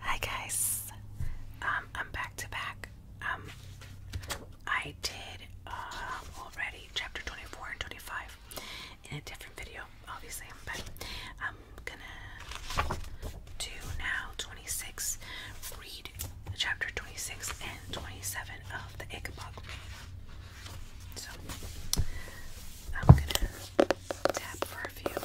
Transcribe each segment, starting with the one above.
Hi guys, um, I'm back to back. Um, I did um, already chapter 24 and 25 in a different video, obviously, but I'm gonna do now 26, read chapter 26 and 27 of the Ichabod. So, I'm gonna tap for a few.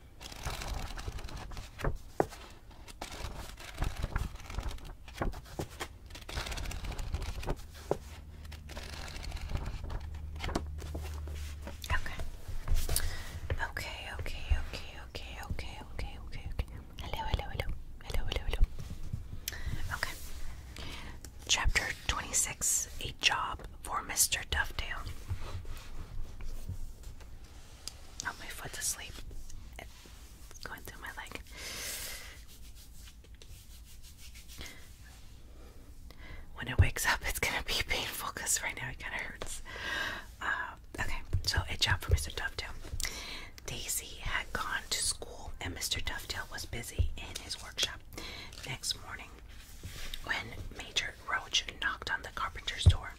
Okay. Okay, okay, okay, okay, okay, okay, okay, hello, hello. Hello, hello, hello. Okay. Chapter 26 A Job for Mr. Dovetail. Oh, my foot's asleep. It's going through my leg. When it wakes up, it's gonna be painful because right now it kind of hurts. Uh, okay, so a job for Mr. Dovetail. Daisy had gone to school, and Mr. Dovetail was busy in his workshop. Next morning, when Major Roach knocked on the carpenter's door.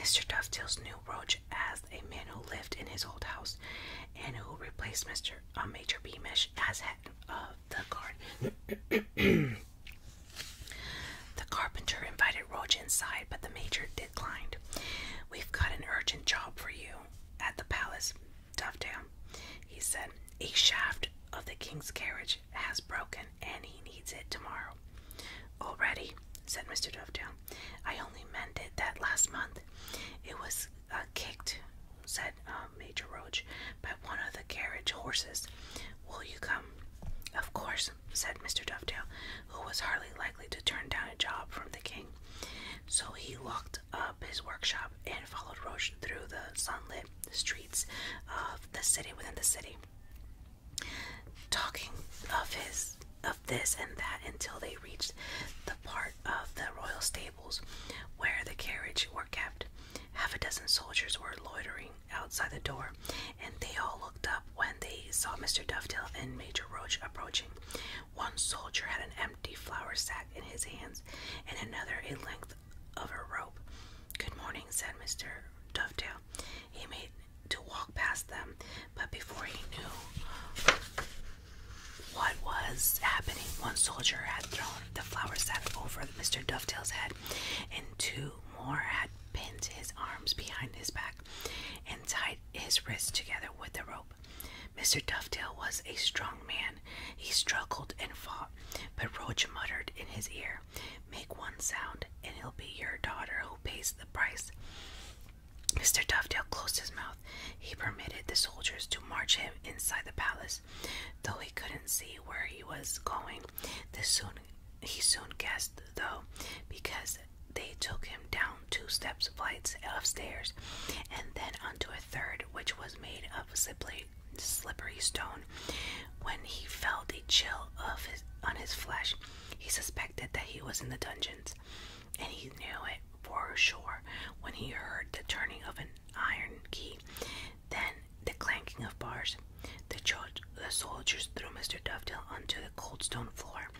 Mr. Dovetails new Roach as a man who lived in his old house and who replaced Mr. Uh, Major Beamish as head of the guard. the carpenter invited Roach inside, but the major declined. We've got an urgent job for you at the palace, Dovetail, he said. A shaft of the king's carriage has broken and he needs it tomorrow tomorrow. Already, said Mr. Dovetail. I only mended that last month. It was uh, kicked, said um, Major Roach, by one of the carriage horses. Will you come? Of course, said Mr. Dovetail, who was hardly likely to turn down a job from the king. So he locked up his workshop and followed Roach through the sunlit streets of the city within the city talking of his of this and that until they reached the part of the royal stables where the carriage were kept. Half a dozen soldiers were loitering outside the door, and they all looked up when they saw Mr. Dovetail and Major Roach approaching. One soldier had an empty flour sack in his hands, and another a length of a rope. Good morning, said Mr. Dovetail. He made to walk past them, but before he knew what was happening, one soldier had thrown the flour sack over Mr. Dovetail's head, and two more had pinned his arms behind his back and tied his wrists together with a rope. Mr. Dovetail was a strong man. He struggled and fought, but Roach muttered in his ear, Make one sound, and it'll be your daughter who pays the price. Mr. Dovetail closed his mouth. He permitted the soldiers to march him inside the palace, though he couldn't see where he was going. This soon he soon guessed, though, because they took him down two steps flights of stairs, and then onto a third, which was made of simply slippery stone. When he felt a chill of his, on his flesh, he suspected that he was in the dungeons, and he knew it for sure when he heard the turning of an iron key, then the clanking of bars. The, soldiers threw Mr. Dovetail onto the cold stone floor.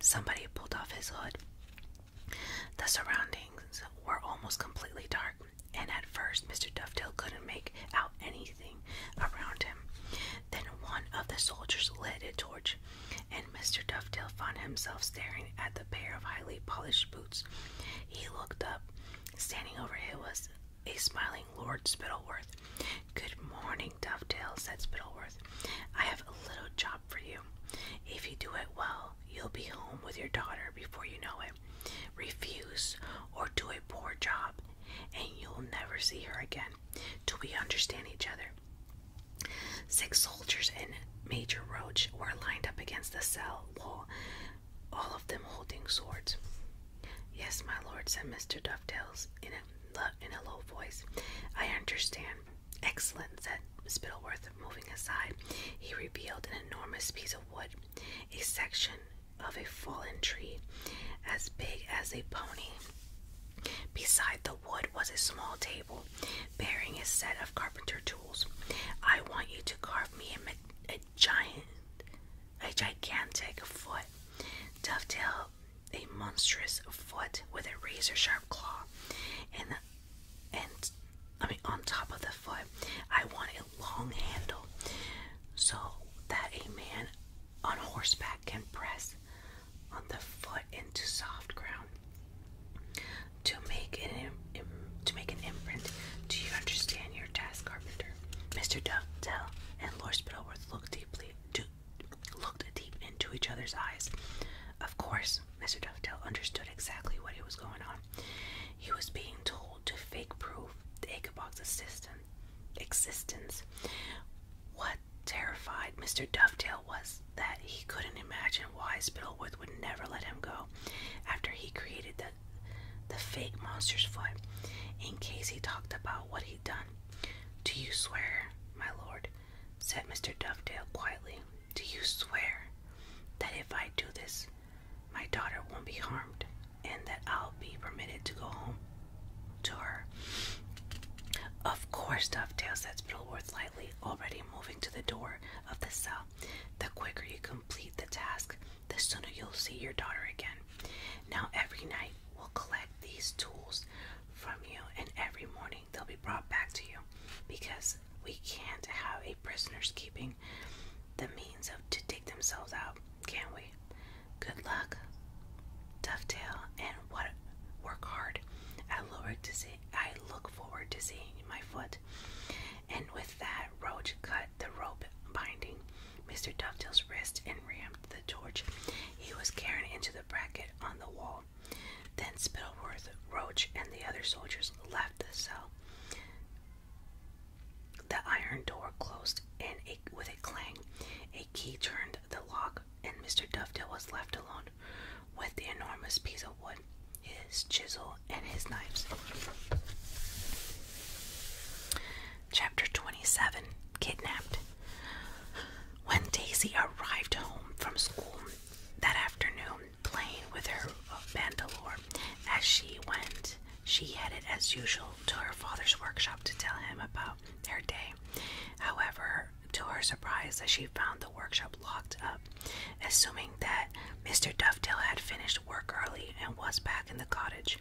Somebody pulled off his hood. The surroundings were almost completely dark, and at first Mr. Dovetail couldn't make out anything around him. Then one of the soldiers lit a torch, and Mr. Dovetail found himself staring at the pair of highly polished boots. He looked up. Standing over him was a smiling Lord Spittleworth. Good morning, Dovetail, said Spittleworth. I have a little job for you. If you do it well, you'll be home with your daughter before you know it. Refuse or do a poor job, and you'll never see her again. Do we understand each other. Six soldiers and Major Roach were lined up against the cell wall, all of them holding swords. Yes, my lord, said Mr. Dovetails in a, in a low voice. I understand. Excellent, said Spittleworth, moving aside. He revealed an enormous piece of wood, a section of a fallen tree, as big as a pony. Beside the wood was a small table bearing a set of carpenter tools. I want you to carve me a, giant, a gigantic foot, dovetail a monstrous foot with a razor sharp claw, and and I mean on top of the foot, I want a long handle, so that a man on horseback can press on the foot into soft ground to make an to make an imprint. Do you understand your task, carpenter? Mr. Dovetail, and Lord Spittleworth looked deeply to, looked deep into each other's eyes. Of course, Mr. Dovetail understood exactly what was going on. He was being told to fake proof the Ichabod's assistant existence. What terrified Mr. Dovetail was that he couldn't imagine why Spittleworth would never let him go after he created the the fake monster's foot, in case he talked about what he'd done. Do you swear, my lord? said Mr. Dovetail quietly. Do you swear that if I do this, my daughter won't be harmed? and that I'll be permitted to go home to her. Of course, Dovetail said Spillworth lightly, already moving to the door of the cell. The quicker you complete the task, the sooner you'll see your daughter again. Now, every night we'll collect these tools from you, and every morning they'll be brought back to you because we can't have a prisoner's keeping the means of to dig themselves out, can we? Good luck, Dovetail, and what work hard. I look to see. I look forward to seeing my foot. And with that, Roach cut the rope binding Mr. Dovetail's wrist and rammed the torch he was carrying into the bracket on the wall. Then Spittleworth, Roach, and the other soldiers left the cell. The iron door closed with a clang. A key turned the lock, and Mr. Dovetail was left alone with the enormous piece of wood, his chisel, and his knives. Chapter 27 Kidnapped. When Daisy arrived home from school that afternoon, playing with her bandolier, as she went she headed as usual to her father's workshop to tell him about her day. However, to her surprise, she found the workshop locked up. Assuming that Mr. Dovetail had finished work early and was back in the cottage,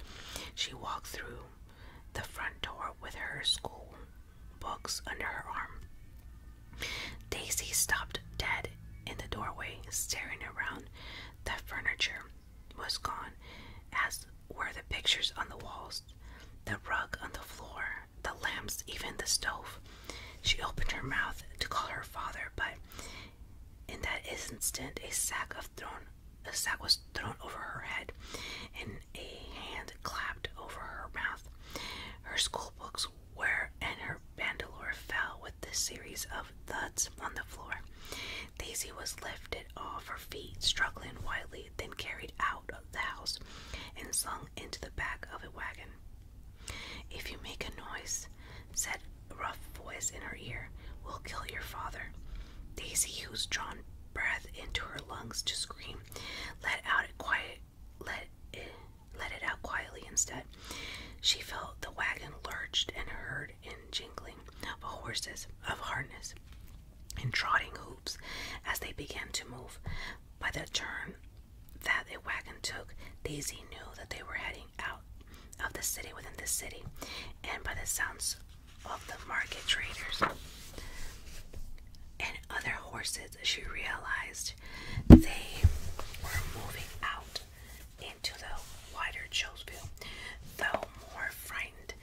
she walked through the front door with her school books under her arm. Daisy stopped dead in the doorway, staring around the furniture was gone, as were the pictures on the walls, the rug on the floor, the lamps, even the stove. She opened her mouth to call her father, but in that instant, a sack of thrown a sack was thrown over her head, and a hand clapped over her mouth. Her schoolbooks were, and her bandolier fell with a series of thuds on the floor. Daisy was lifted off her feet, struggling wildly, then carried out of the house and slung into the back of a wagon. If you make a noise, said a rough voice in her ear, we'll kill your father. Daisy, who's drawn breath into her lungs to scream, let out a quiet let it, eh, let it out quietly instead. She felt the wagon lurched and heard in jingling of horses of harness. In trotting hoops as they began to move. By the turn that the wagon took, Daisy knew that they were heading out of the city within the city, and by the sounds of the market traders and other horses, she realized they were moving out into the wider Chillsville, though more frightened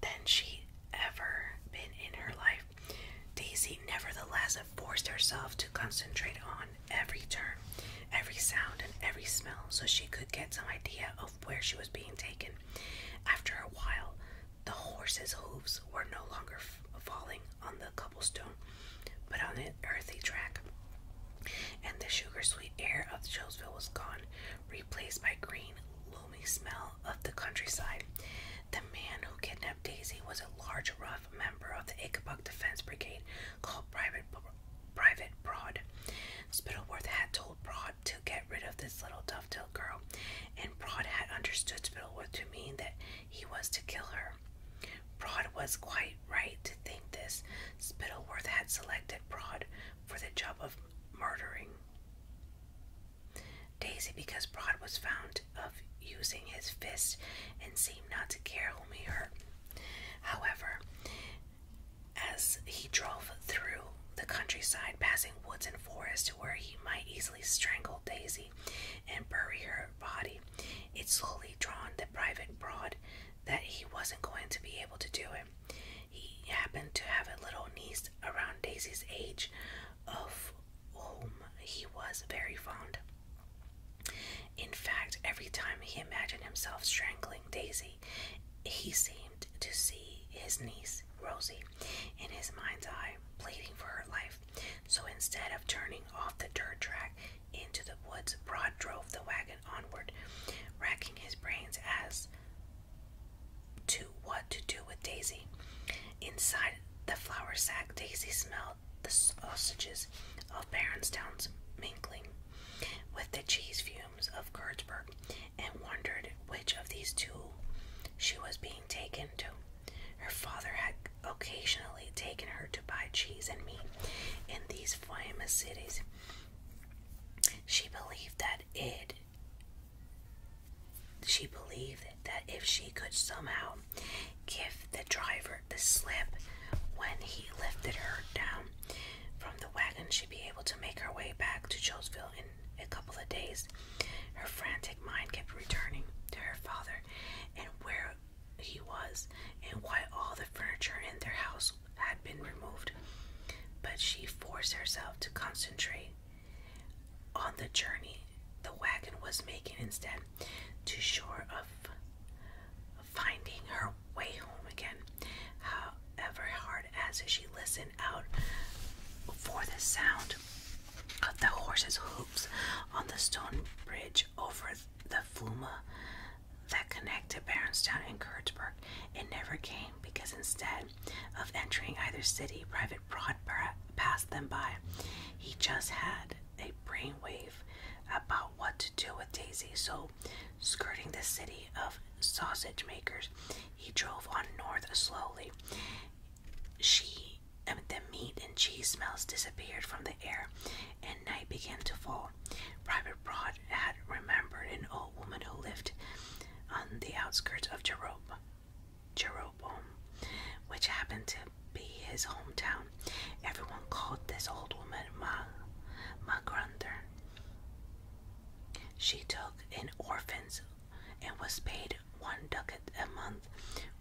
than she ever been in her life. Daisy, nevertheless, forced herself to concentrate on every turn, every sound, and every smell so she could get some idea of where she was being taken. After a while, the horse's hooves were no longer falling on the cobblestone, but on an earthy track and the sugar sweet air of Jonesville was gone, replaced by green, loamy smell of the countryside. The man who kidnapped Daisy was a large, rough member of the Ichabod Defense Brigade called Private Private Broad. Spittleworth had told Broad to get rid of this little dovetail girl, and Broad had understood Spittleworth to mean that he was to kill her. Broad was quite right to think this. Spittleworth had selected Broad for the job of murdering Daisy because Broad was found of using his fists and seemed not to care whom he hurt. However, as he drove through the countryside, passing woods and forests to where he might easily strangle Daisy and bury her body, it slowly dawned the private Broad that he wasn't going to be able to do it. He happened to have a little niece around Daisy's age, of whom he was very fond. In fact, every time he imagined himself strangling Daisy, he seemed to see his niece, Rosie, in his mind's eye, pleading for her life. So instead of turning off the dirt track into the woods, Broad drove the wagon and onward, racking his brains as to what to do with Daisy. Inside the flour sack, Daisy smelled the sausages of Barronstown's mingling with the cheese fumes of Kurtzberg and wondered which of these two she was being taken to. Her father had occasionally taken her to buy cheese and meat in these famous cities, she believed that it she believed that if she could somehow give the driver the slip when he lifted her down from the wagon, she'd be able to make her way back to Jonesville in a couple of days. Her frantic mind kept returning to her father and where he was, and why all the furniture in their house had been removed, but she forced herself to concentrate on the journey the wagon was making instead, to shore of finding her way home again. However hard as she listened out for the sound of the horse's hoofs on the stone bridge over the Fluma, that connected Barronstown and Kurtzburg. It never came because instead of entering either city, Private Broad passed them by. He just had a brainwave about what to do with Daisy, so skirting the city of sausage makers, he drove on north slowly. She, and the meat and cheese smells disappeared from the air, and night began to fall. Private Broad had remembered an old woman who lived on the outskirts of Jeroboam, which happened to be his hometown. Everyone called this old woman Ma, Ma Grunder. She took in orphans and was paid one ducat a month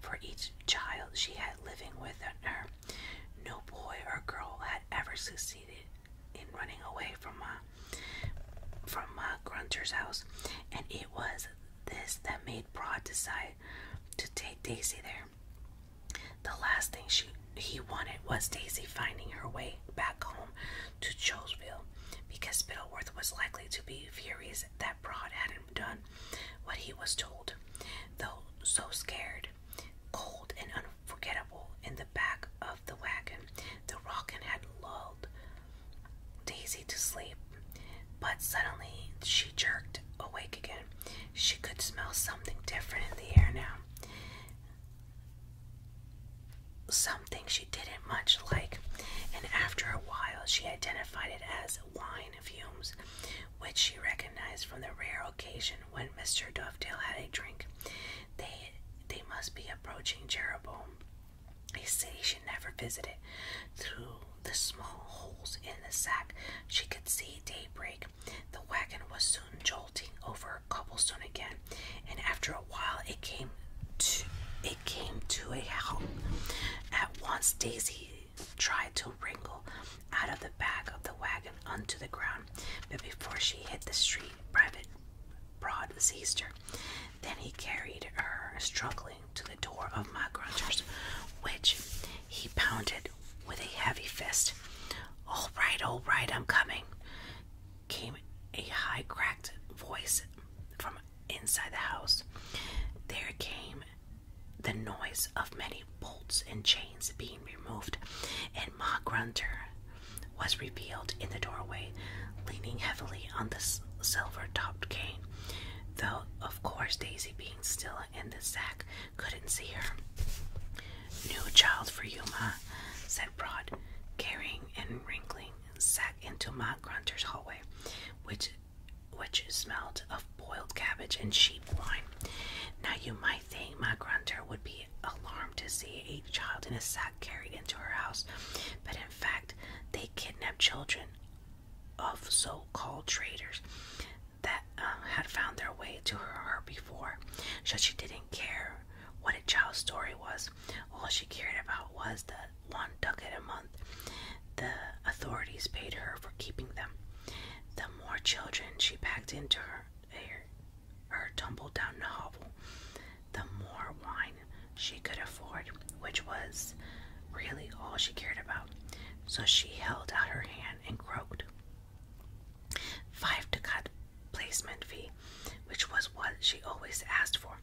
for each child she had living with her. No boy or girl had ever succeeded in running away from my from my grunter's house, and it was this that made Broad decide to take Daisy there. The last thing she he wanted was Daisy finding her way back home to Choseville, because Spittleworth was likely to be furious that Broad hadn't done what he was told, though so scared cold and unforgettable, in the back of the wagon. The rockin' had lulled Daisy to sleep, but suddenly she jerked awake again. She could smell something different in the air now. Something she didn't much like, and after a while she identified it as wine fumes, which she recognized from the rare when Mr. Dovetail had a drink. They they must be approaching Jeroboam, a city she never visited. Through the small holes in the sack, she could see daybreak. The wagon was soon jolting over cobblestone again, and after a while, it came to it came to a halt. At once, Daisy tried to wrangle out of the back of the wagon onto the ground, but before she hit the street, Private Broad seized her. Then he carried her, struggling, to the door of my grunter's, which he pounded with a heavy fist. All right, all right, I'm coming, came a high, cracked voice from inside the house. There came the noise of many bolts and chains being removed, and Ma Grunter was revealed in the doorway, leaning heavily on the silver topped cane, though, of course, Daisy, being still in the sack, couldn't see her. New child for you, Ma, said Broad, carrying and wrinkling sack into Ma Grunter's hallway, which which smelled of boiled cabbage and sheep wine. Now you might I think my grunter would be alarmed to see a child in a sack carried into her house, but in fact, they kidnapped children of so-called traders that um, had found their way to her, her before, so she didn't care what a child's story was. All she cared about was the one ducat a month the authorities paid her for keeping them. The more children she packed into her her tumble tumbled down hovel, the more wine she could afford, which was really all she cared about. So she held out her hand and croaked. Five ducat placement fee, which was what she always asked for.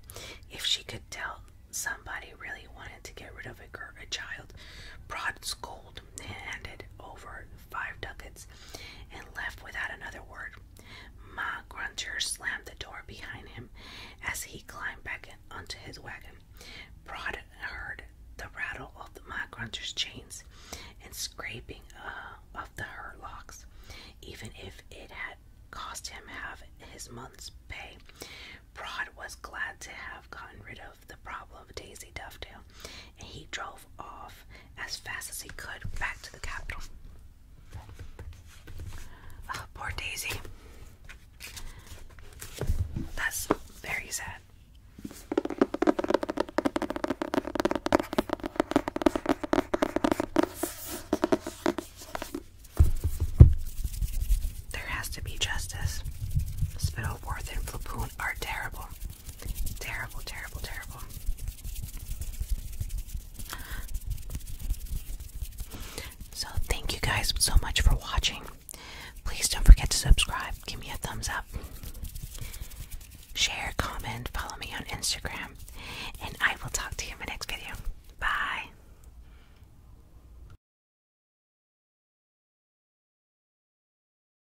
If she could tell somebody really wanted to get rid of a, girl, a child, Broad gold, and handed over five ducats and left without another word. Ma Grunter slammed the door behind him as he climbed back onto his wagon. Broad heard the rattle of the Ma Grunter's chains and scraping uh, of the hurlocks, even if it had cost him half his month's pay. Broad was glad to have gotten rid of the problem of Daisy Dovetail, and he drove off as fast as he could back to the capital. Ah, poor Daisy. That's very sad. There has to be justice. Spittleworth and Flapoon are terrible. Terrible, terrible, terrible. So, thank you guys so much for watching. Please don't forget to subscribe, give me a thumbs up, share, comment, follow me on Instagram, and I will talk to you in my next video. Bye.